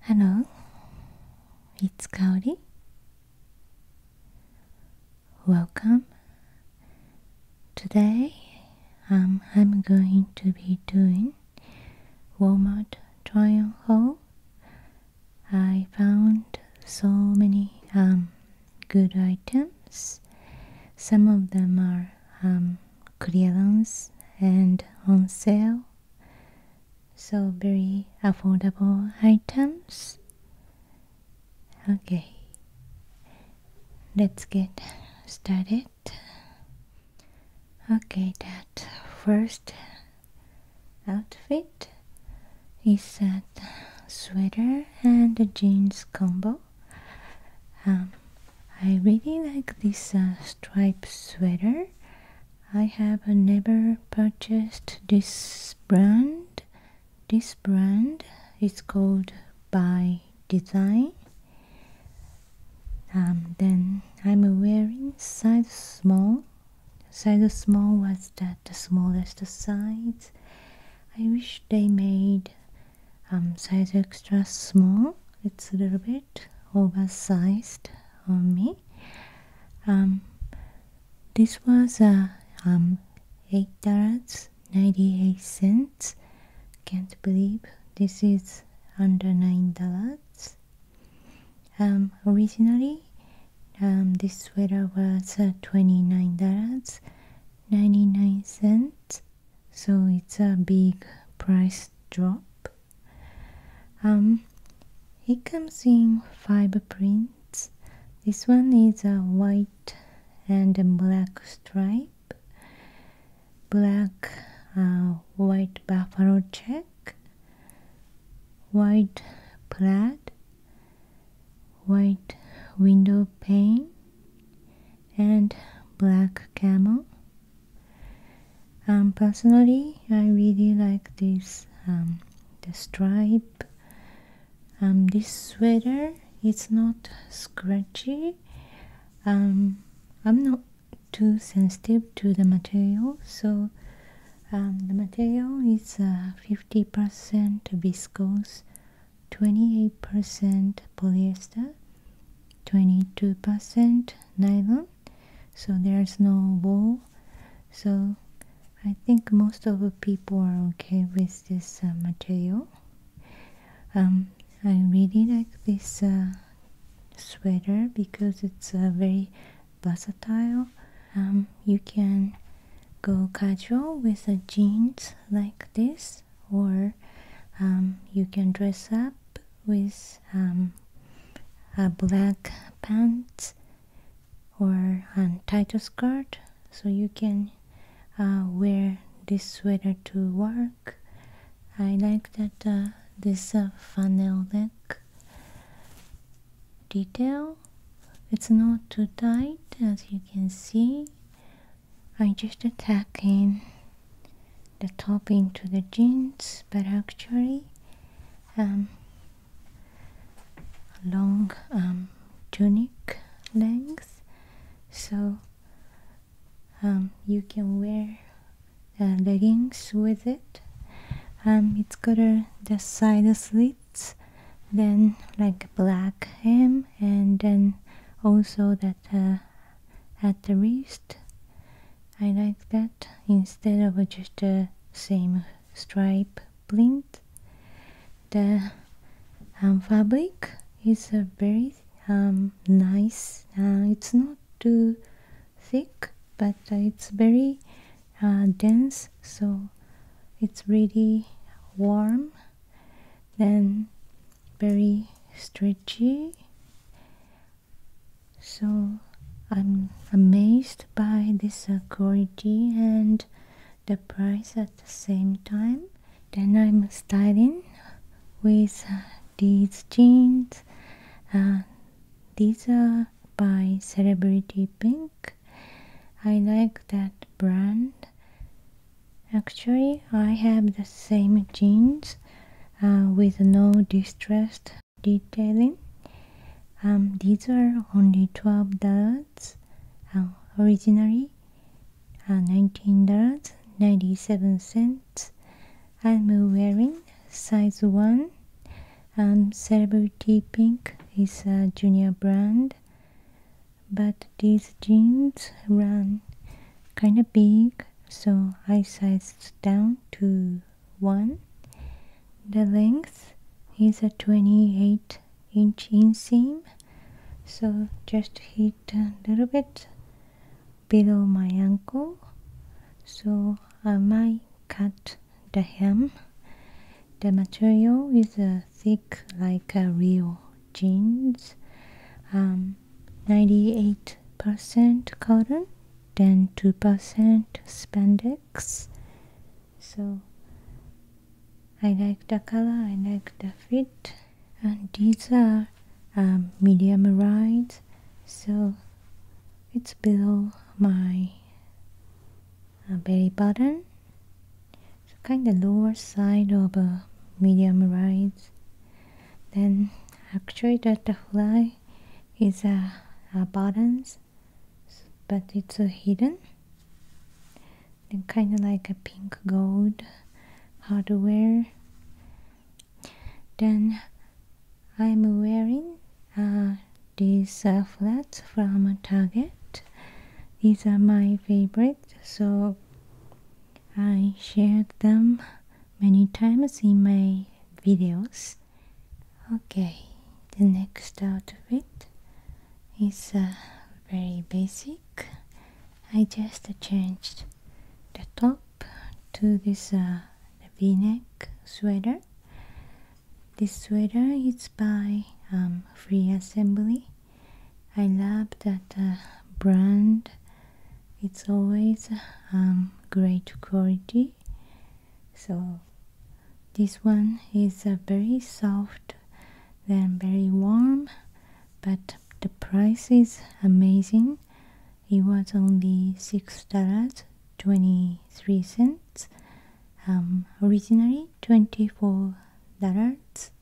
Hello, it's Kauri. Welcome. Today um, I'm going to be doing Walmart try-on haul. I found so many um, good items. Some of them are um, clearance and on sale so very affordable items okay let's get started okay that first outfit is that sweater and jeans combo um, I really like this uh, striped sweater. I have uh, never purchased this brand. This brand is called By Design. Um, then I'm wearing size small. Size small was that the smallest size. I wish they made um, size extra small it's a little bit oversized on me um, this was uh, um, eight dollars 98 cents can't believe this is under nine dollars originally this sweater was uh, 29 dollars 99 cents so it's a big price drop um, it comes in fiber prints this one is a white and a black stripe black uh, white buffalo check white plaid white window pane and black camel. Um, personally, I really like this um, the stripe. Um, this sweater it's not scratchy. Um, I'm not too sensitive to the material, so um, the material is uh, 50% viscose, 28% polyester, 22% nylon so there's no wool so I think most of the people are okay with this uh, material um, I really like this uh, sweater because it's uh, very versatile um, you can go casual with a jeans like this or um, you can dress up with um, a black pants or a tighter skirt so you can uh, wear this sweater to work I like that uh, this uh, funnel neck detail it's not too tight as you can see I just attacking the top into the jeans but actually um, long um, tunic length so um, you can wear uh, leggings with it um, it's got a, the side slits then like a black hem and then also that uh, at the wrist I like that instead of just the same stripe print the um, fabric is a very um, nice uh, it's not too thick but it's very uh, dense so it's really warm then very stretchy so i'm amazed by this uh, quality and the price at the same time then i'm styling with uh, these jeans uh, these are by celebrity pink i like that brand Actually, I have the same jeans uh, with no distressed detailing. Um, these are only $12 uh, originally, $19.97. Uh, I'm wearing size 1. Um, Celebrity Pink is a junior brand, but these jeans run kind of big so I size down to 1 the length is a 28 inch inseam so just hit a little bit below my ankle so I might cut the hem the material is uh, thick like a real jeans, 98% um, cotton, then 2% spandex. So I like the color, I like the fit, and these are um, medium rise, so it's below my uh, belly button, so kind of lower side of a uh, medium rise then actually the fly is a, a balance but it's hidden and kind of like a pink gold hardware then I'm wearing uh, these uh, flats from Target these are my favorites. so I shared them many times in my videos. Okay, the next outfit is uh, very basic. I just changed the top to this uh, v-neck sweater. This sweater is by um, Free Assembly I love that uh, brand. It's always um, great quality. So this one is uh, very soft, then very warm, but the price is amazing. It was only six dollars twenty three cents. Um, originally twenty four dollars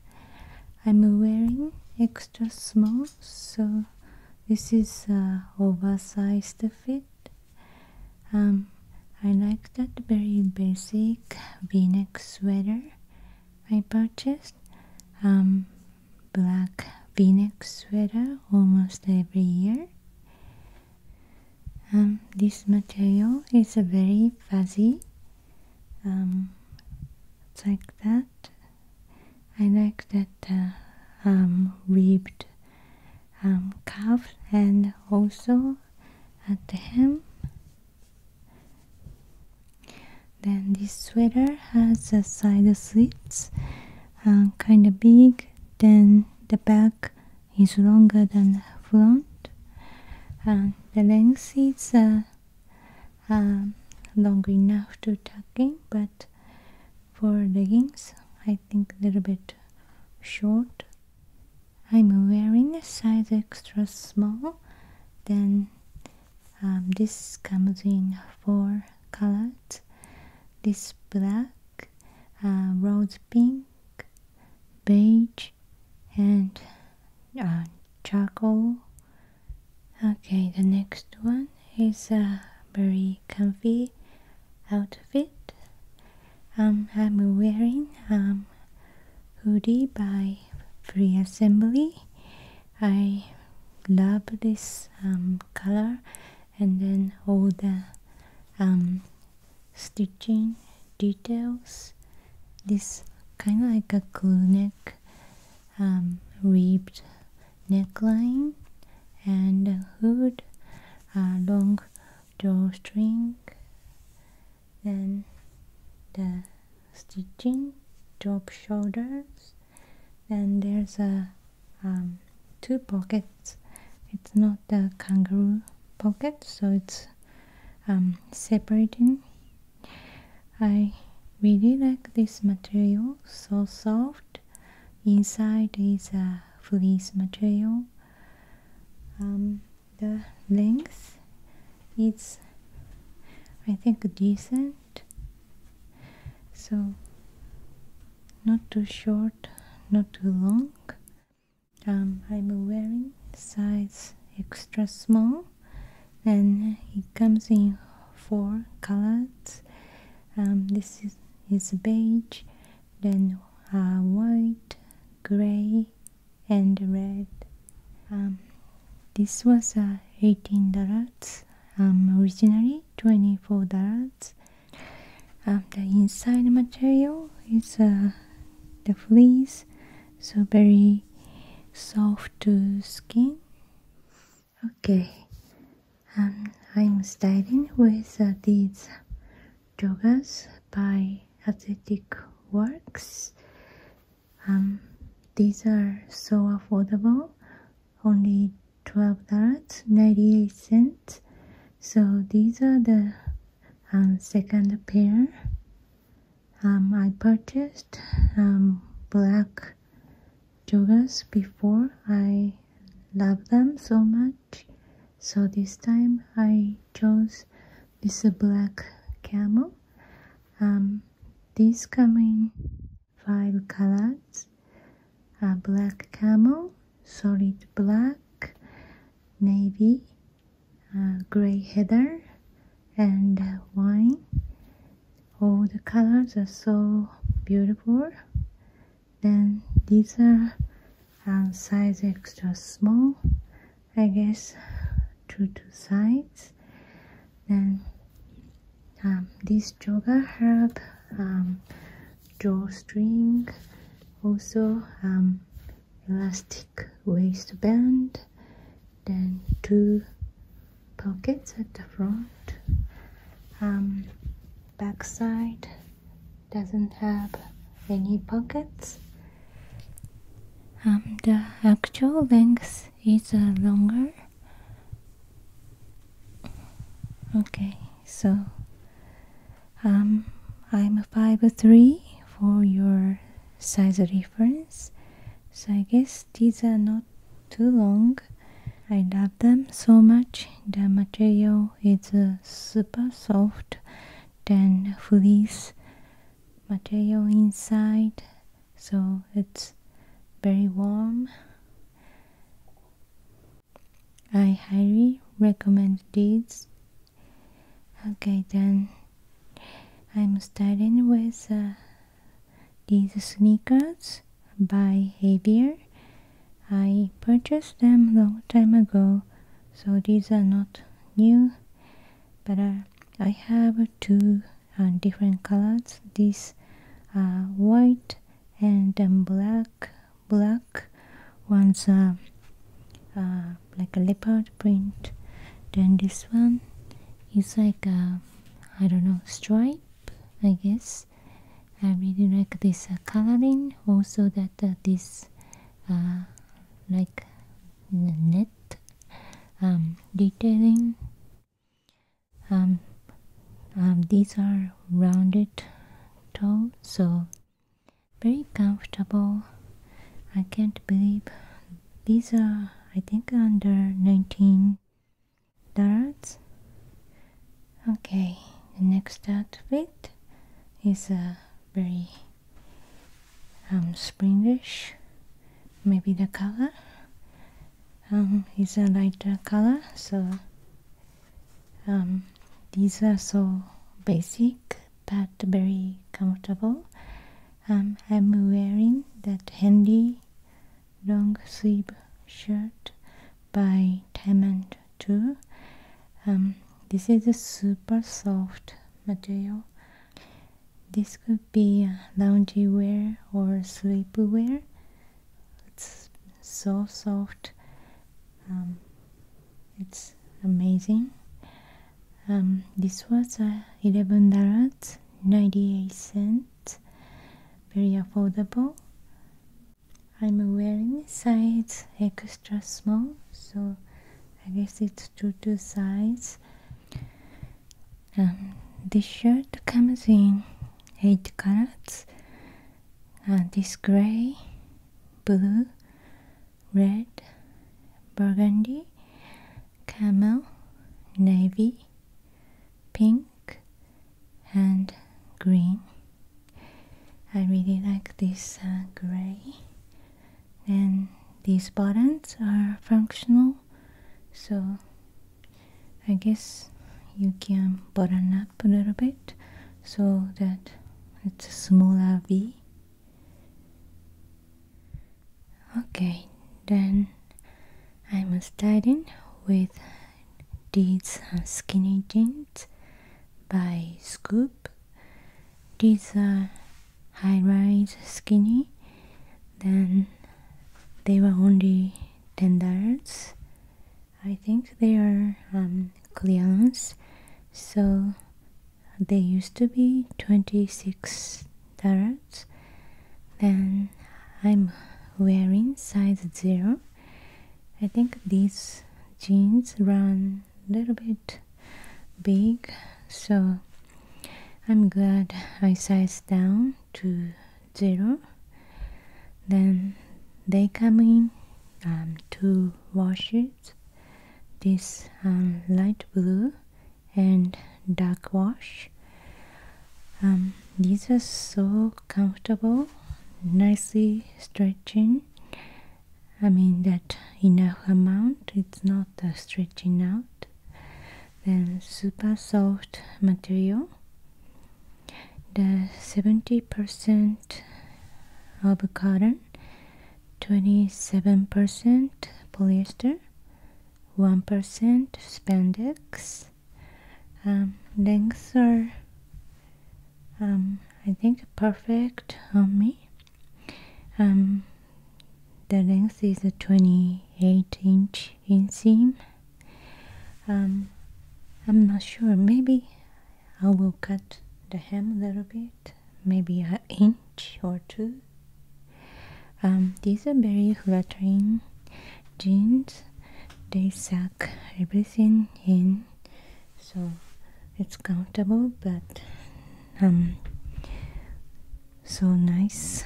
I'm wearing extra small, so this is a oversized fit. Um, I like that very basic v-neck sweater I purchased. Um, black v-neck sweater almost every year. Um, this material is a very fuzzy. it's like that I like that uh, um, ribbed um, cuff and also at the hem. Then this sweater has a side slits, uh, kind of big. Then the back is longer than the front. and uh, the length is um, long enough to tucking but for leggings I think a little bit short I'm wearing a size extra small then um, this comes in four colors this black uh, rose pink beige and uh, charcoal Okay, the next one is a uh, very comfy outfit. Um, I'm wearing um hoodie by Free Assembly. I love this um, color and then all the um, stitching details. This kind of like a crew neck um, ribbed neckline and hood, a long drawstring, then the stitching, drop shoulders, and there's a um, two pockets. It's not the kangaroo pocket, so it's um, separating I really like this material, so soft. Inside is a fleece material. Um, the length it's, I think, decent. So, not too short, not too long. Um, I'm wearing size extra small then it comes in four colors um, this is, beige then uh, white gray and red um, this was uh, 18 dollars um, originally 24 dollars the inside material is uh, the fleece so very soft to skin Okay, um, I'm starting with uh, these joggers by Athletic Works. Um, these are so affordable, only $12.98. So these are the um, second pair um, I purchased um, black joggers before I love them so much so this time I chose this black camel um, these come five colors a black camel solid black navy uh, gray heather and wine all the colors are so beautiful then these are um, size extra small I guess two two sides then um, this joga herb um, drawstring also um, elastic waistband then two pockets at the front um, back side doesn't have any pockets um, the actual length is uh, longer okay so um, I'm 5'3 for your size reference so I guess these are not too long. I love them so much. The material is super soft, then fleece material inside, so it's very warm. I highly recommend these. Okay, then I'm starting with uh, these sneakers by Havier. I purchased them long time ago, so these are not new, but uh, I have two uh, different colors. These are white and um, black. Black ones are uh, like a leopard print. Then this one is like a I don't know, stripe, I guess. I really like this uh, coloring, also that uh, this uh, like net um, detailing. um, um these are rounded toe, so very comfortable. I can't believe these are I think under 19 dollars okay the next outfit is a very um, springish maybe the color um, is a lighter color so um, these are so basic but very comfortable um, I'm wearing that handy long sleeve shirt by Diamond 2. Um, this is a super soft material. This could be lounge wear or sleep wear. It's so soft. Um, it's amazing. Um, this was $11 98 cents very affordable I'm wearing size extra small so I guess it's two to size um, this shirt comes in 8 colors uh, this gray blue red burgundy camel, navy, pink, and green. I really like this uh, gray. And these buttons are functional, so I guess you can button up a little bit so that it's a smaller V. Okay, then I'm starting with these skinny jeans by Scoop. These are high-rise skinny. Then they were only ten dollars. I think they are um, clearance, so they used to be twenty-six Dirt. then I'm wearing size 0 I think these jeans run a little bit big so I'm glad I sized down to 0 then they come in um, two washes this um, light blue and dark wash um, these are so comfortable nicely stretching I mean that enough amount it's not stretching out then super soft material the 70% of cotton 27% polyester 1% spandex um, lengths are um, I think perfect on me um, the length is a 28 inch inseam um, I'm not sure maybe I will cut the hem a little bit maybe an inch or two um, these are very flattering jeans. They suck everything in, so it's comfortable but um, so nice.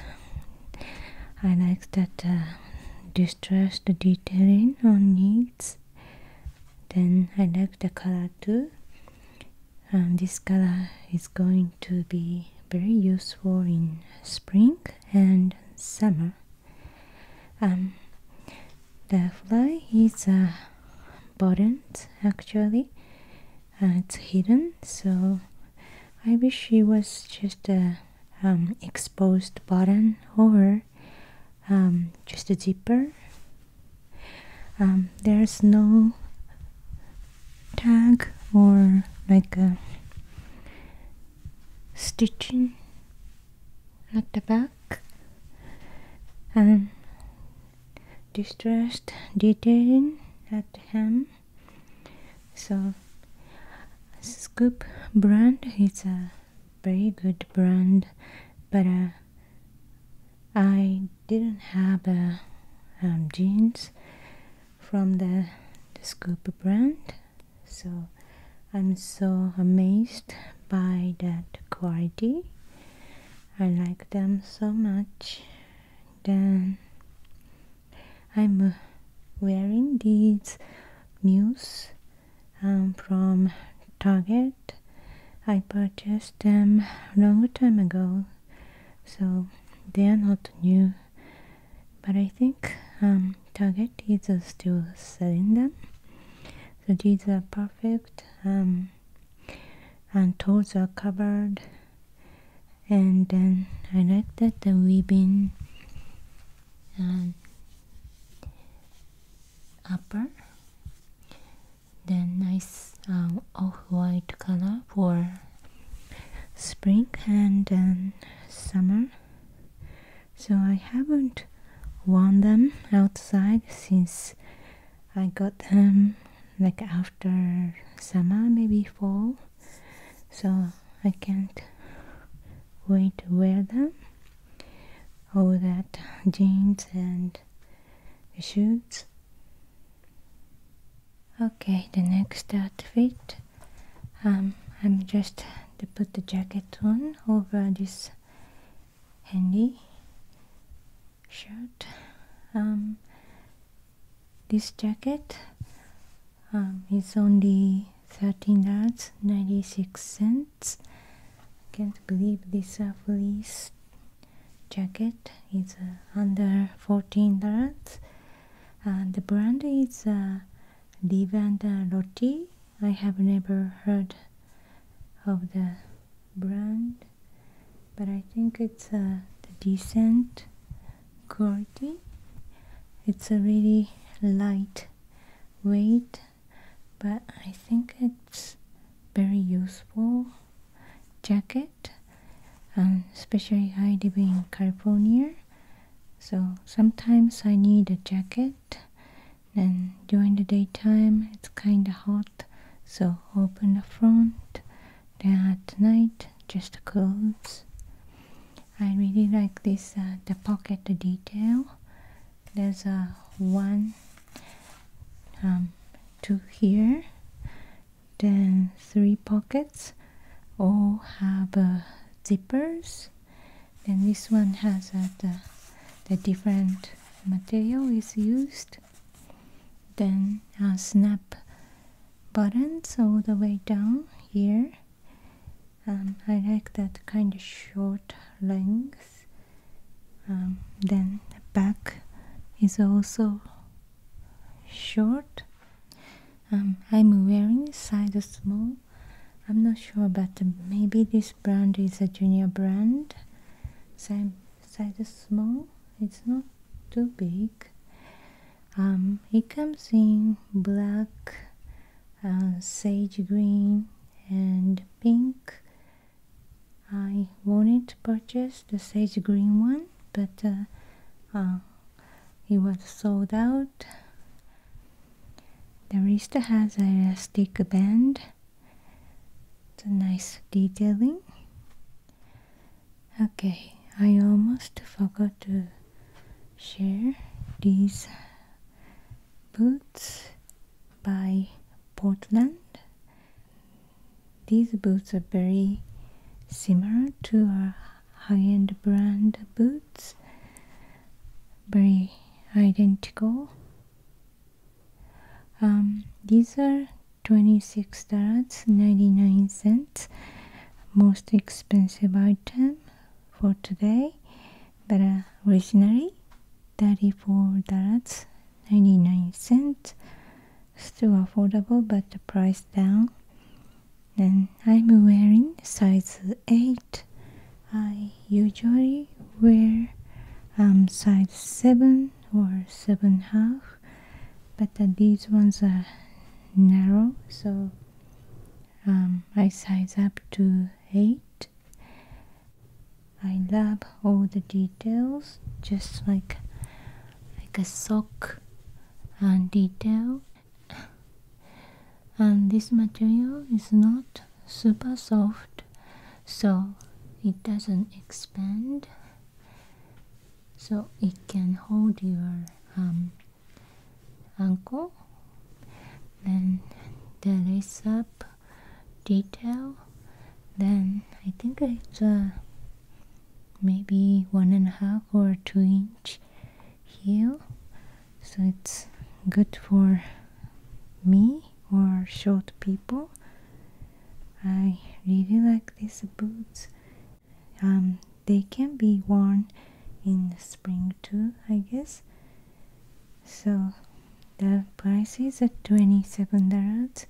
I like that uh, distressed detailing on knees. Then I like the color too and this color is going to be very useful in spring and summer um, the fly is a uh, actually uh, it's hidden so I wish it was just a um, exposed button or um, just a zipper um, there's no tag or like a stitching at the back and distressed detailing at the hem so scoop brand it's a very good brand but uh, I didn't have jeans um, from the, the Scoop brand, so I'm so amazed by that quality. I like them so much. Then I'm uh, wearing these mules um, from Target. I purchased them a long time ago so they are not new but I think um, Target is still selling them so these are perfect um, and toes are covered and then I like that the weaving uh, upper then nice uh, off-white color for spring and then um, summer so I haven't worn them outside since I got them like after summer maybe fall so I can't wait to wear them all that jeans and shoes okay the next outfit um, I'm just to put the jacket on over this handy shirt um, this jacket um, is only $13.96 can't believe this! are fleece jacket is uh, under 14 dollars and the brand is uh, Live I have never heard of the brand but I think it's a uh, decent quality it's a really light weight but I think it's very useful jacket and um, especially I live in California so sometimes I need a jacket and during the daytime it's kinda hot so open the front then at night just close I really like this uh, the pocket detail there's a uh, one um, two here then three pockets all have uh, zippers Then this one has uh, the, different material is used then uh, snap buttons all the way down here um, I like that kind of short length um, then the back is also short. Um, I'm wearing size small. I'm not sure, but maybe this brand is a junior brand. Size size small. It's not too big. Um, it comes in black, uh, sage green, and pink. I wanted to purchase the sage green one but it uh, was sold out. The wrist has a elastic band. It's a nice detailing. Okay, I almost forgot to share these boots by Portland. These boots are very similar to our high-end brand boots. Very identical. Um, these are $26.99 most expensive item for today but originally $34.99 still affordable but the price down And I'm wearing size 8 I usually wear um, size 7 or 7 half but these ones are narrow so um, I size up to 8 I love all the details just like like a sock and detail and this material is not super soft so it doesn't expand so it can hold your um, ankle then the lace up detail then I think it's a maybe one and a half or two inch heel so it's good for me or short people I really like these boots um, they can be worn in spring too I guess so the price is at $27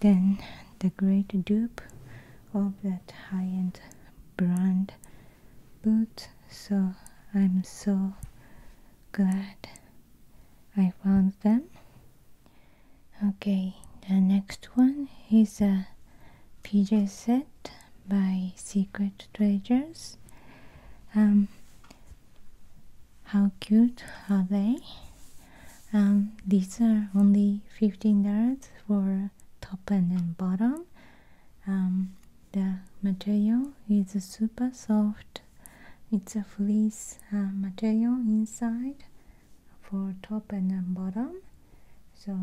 then the great dupe of that high-end brand boot so I'm so glad I found them okay the next one is a PJ set by Secret Treasures um how cute are they um, these are only $15 for top and bottom um, the material is super soft it's a fleece uh, material inside for top and bottom so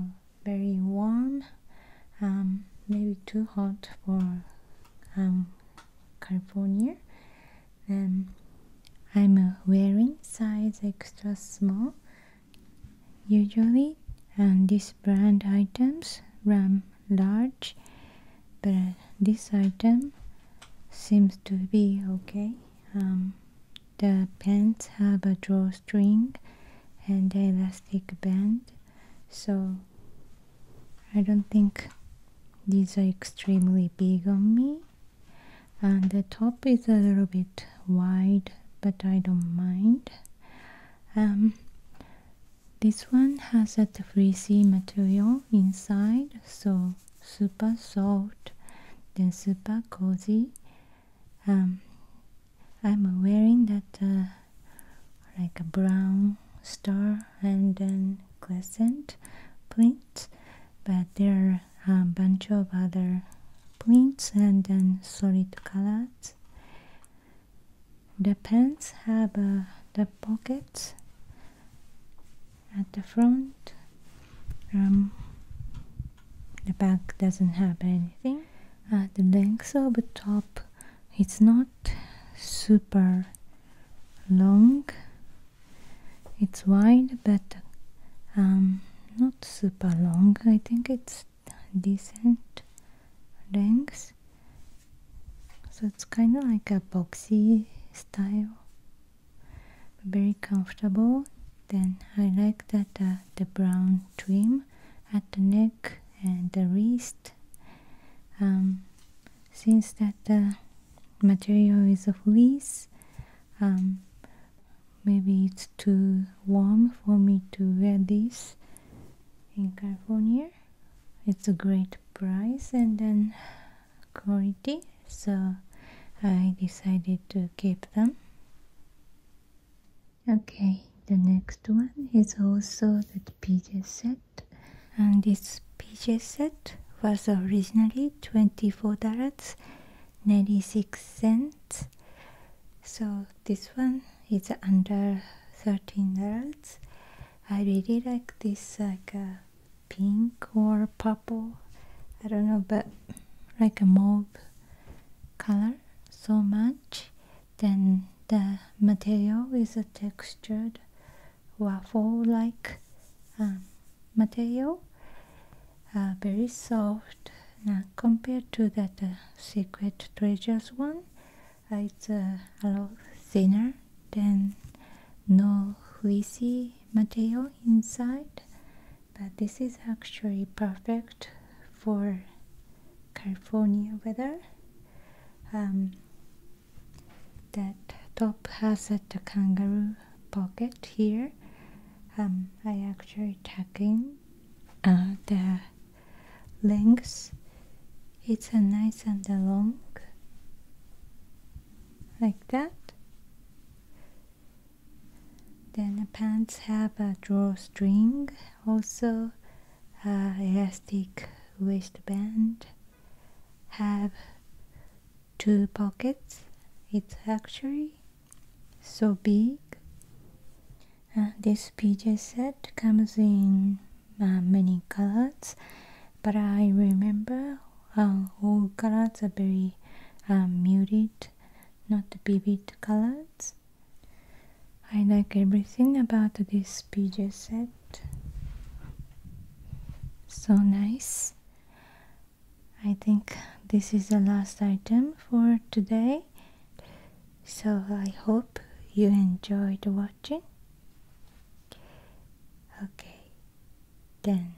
very warm um, maybe too hot for California and I'm wearing size extra small usually and this brand items run large but this item seems to be okay um, the pants have a drawstring and elastic band so I don't think these are extremely big on me and the top is a little bit wide but I don't mind um, this one has a fleecy material inside so super soft then super cozy um, I'm wearing that uh, like a brown star and then crescent print but there are a bunch of other prints and then solid colors. The pants have uh, the pockets at the front. Um, the back doesn't have anything. Uh, the length of the top it's not super long it's wide but um, not super long. I think it's decent length. So it's kind of like a boxy style. Very comfortable. Then I like that uh, the brown trim at the neck and the wrist. Um, since that the uh, material is a fleece, um, maybe it's too warm for me to wear this in California it's a great price and then quality so I decided to keep them okay the next one is also the PJ set and this PJ set was originally $24 96 cents so this one is under 13 dollars i really like this like a uh, pink or purple i don't know but like a mauve color so much then the material is a textured waffle like um, material uh, very soft now compared to that uh, secret treasures one uh, it's a lot thinner than no fleecy material inside but this is actually perfect for California weather um, that top has a kangaroo pocket here um, I actually tucking uh, the length. It's a nice and a long, like that. Then the pants have a drawstring, also uh, elastic waistband, have two pockets it's actually so big uh, this PJ set comes in uh, many colors but I remember uh, all colors are very uh, muted not vivid colors I like everything about this PJ set so nice I think this is the last item for today. So I hope you enjoyed watching. Okay, then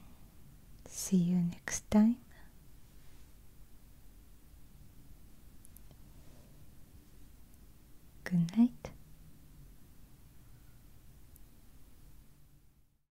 see you next time. Good night.